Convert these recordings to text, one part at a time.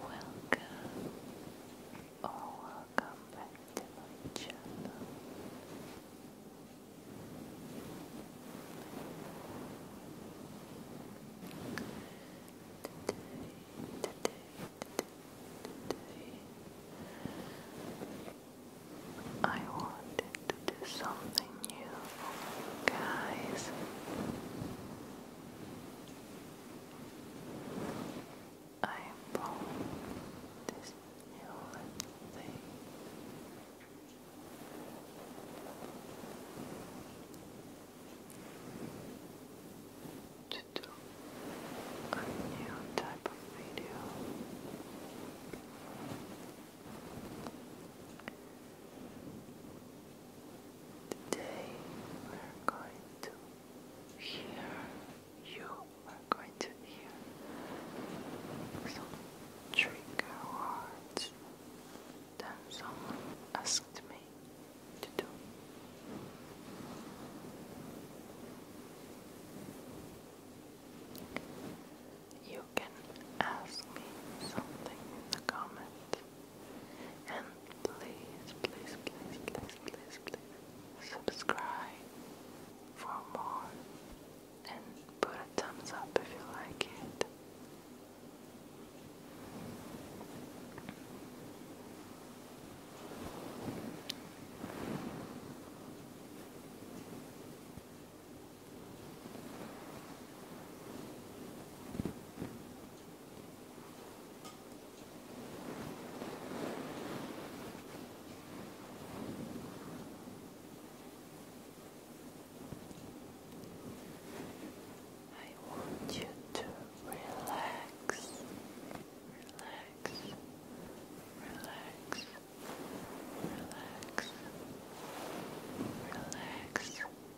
Welcome or oh, welcome back to my channel. Today, today, today, today I wanted to do something new guys. I bought this new thing. To do a new type of video, today we're going to hear, you are going to hear some trigger words that someone asked me to do. You can ask me something in the comments. And please, please, please, please, please, please subscribe for more. And put a thumbs up if you like it. I want you to relax, relax, relax, relax, relax.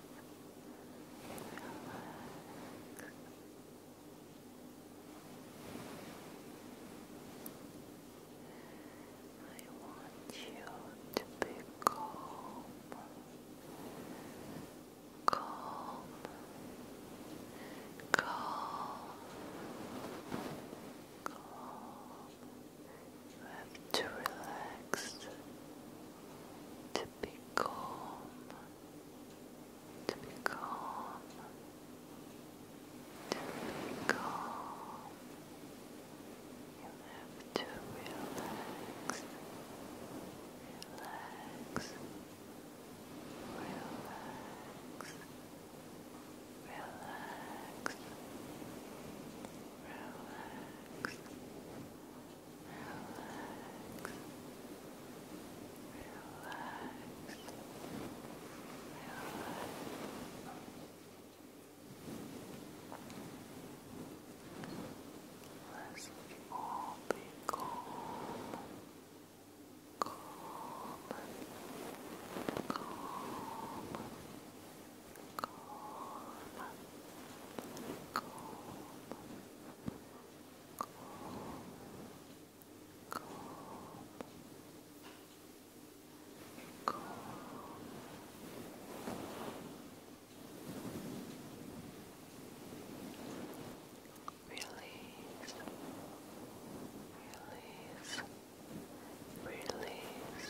I want you to be calm, calm, calm, calm. You to relax to be calm, to be calm, to be calm. You have to relax, relax, relax, relax. Relax, Let's all be calm, calm, calm, calm, calm calm, calm. Release, release, release, release,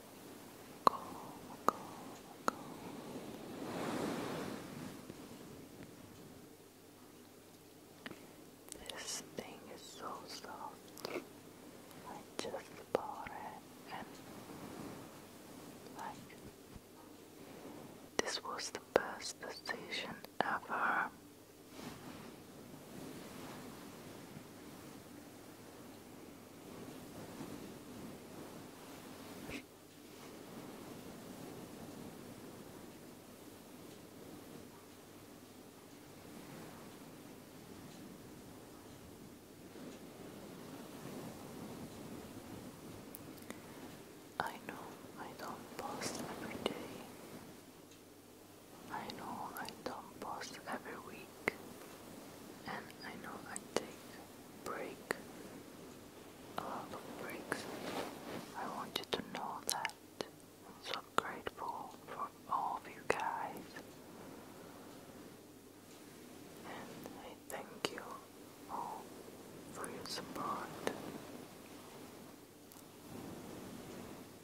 This thing is so soft. I just bought it and like this was the best decision ever. I know I don't post every day. I know I don't post every week, and I know I take break a lot of breaks. I want you to know that I'm so grateful for all of you guys, and I thank you all for your support.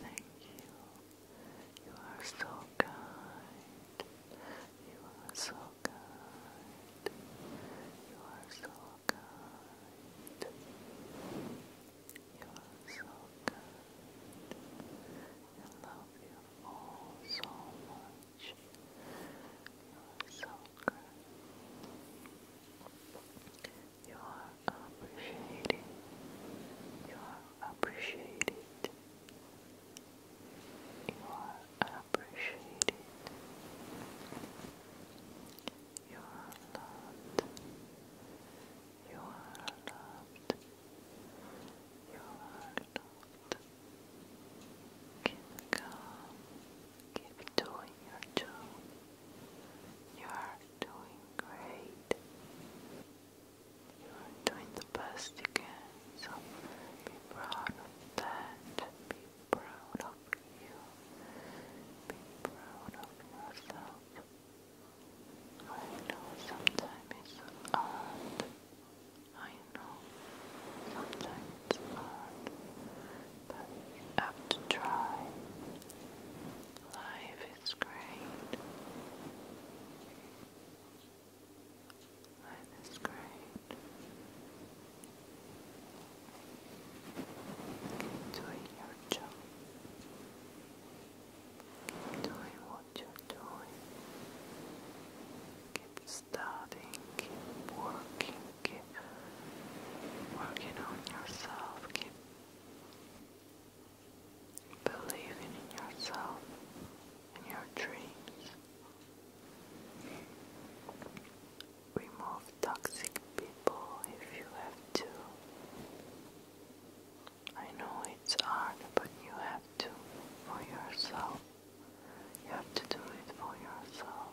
Thank you. You are so kind. You are so kind. You are so kind. You are so kind. I love you all so much. You are so good. You are appreciated. You are appreciated. You are appreciated. You are loved. You are loved. You are loved. Keep calm. Keep doing your job. You are doing great. You are doing the best you so be proud of that. Be proud of you. Be proud of yourself. I know sometimes it's hard. I know sometimes it's hard but you have to try. Life is great. Life is great. Keep doing your job. Keep doing what you're doing. Keep studying, keep working, keep working on yourself, keep Believing in yourself and your dreams. Remove toxic people if you have to. I know it's hard, but you have to for yourself. You have to do it for yourself.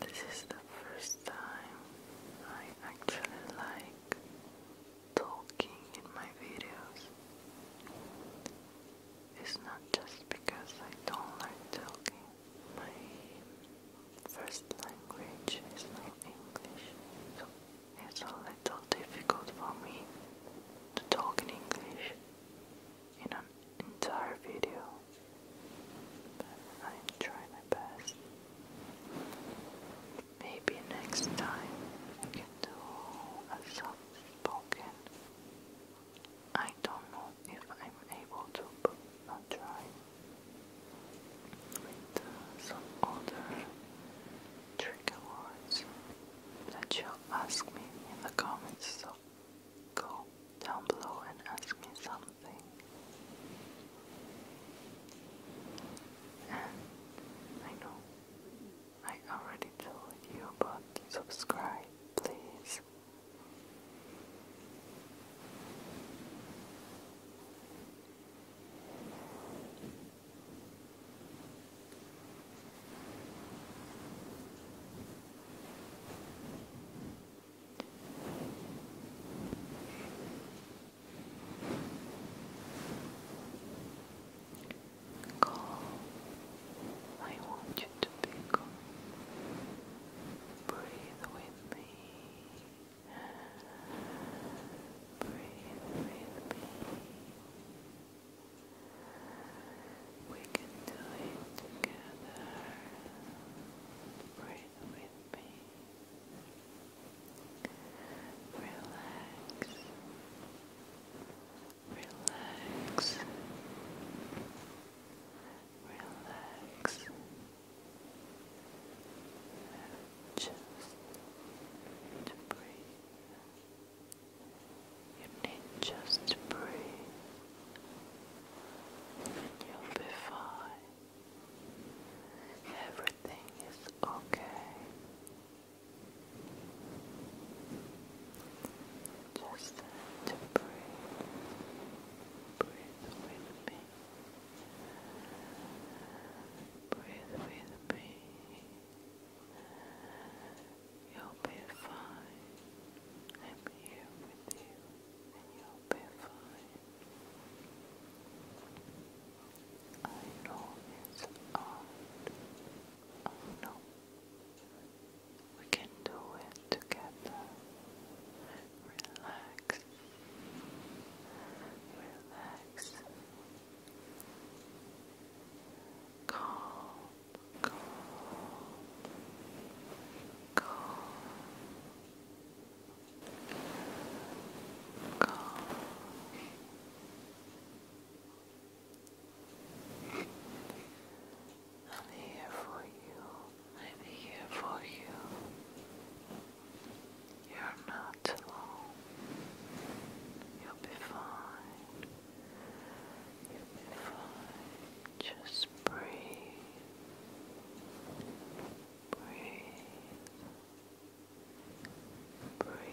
This is the first time I actually like talking in my videos. It's not just because I don't like talking. My first language is not English, so it's a little difficult for me to talk in English in an entire video. I'm my best. Maybe next time I can do a soft spoken. I don't know if I'm able to, but I'll try. With uh, some other trigger words that you'll ask me in the comments. So go down below and ask me something. I know I already told you, but subscribe, please. Calm. I want you to be calm. Breathe with me. Breathe with me. We can do it together. Breathe with me. Relax. Relax. Relax. Just to breathe. You need just to breathe and you'll be fine. Everything is okay. Just to breathe. Breathe with me. Breathe with me. You'll be fine. I'm here with you, and you'll be fine. I know it's hard. I know. We can do it together. Relax. Relax. Calm calm, calm, calm. I'm here for you. I'm here for you. You're not alone. You'll be fine. You'll Just Breathe. Breathe. Breathe.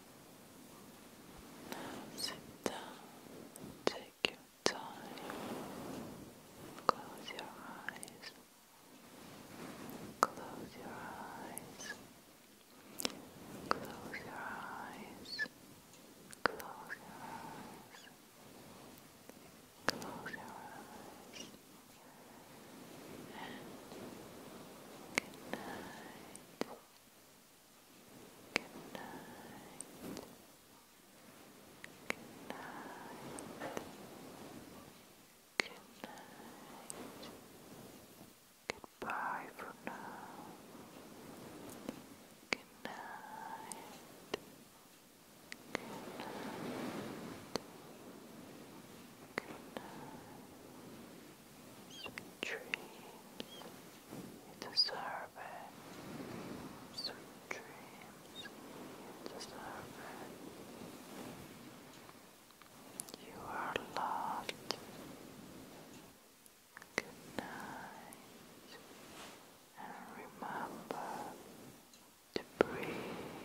Sit down, take your time, close your eyes, close your eyes, close your eyes, close your eyes, good night. Good night. Good night. Good night. Goodbye for now. Good night. Good night. Good night. Sweet dreams, you deserve it. Sweet dreams, you deserve it. You are loved. Good night, and remember to breathe.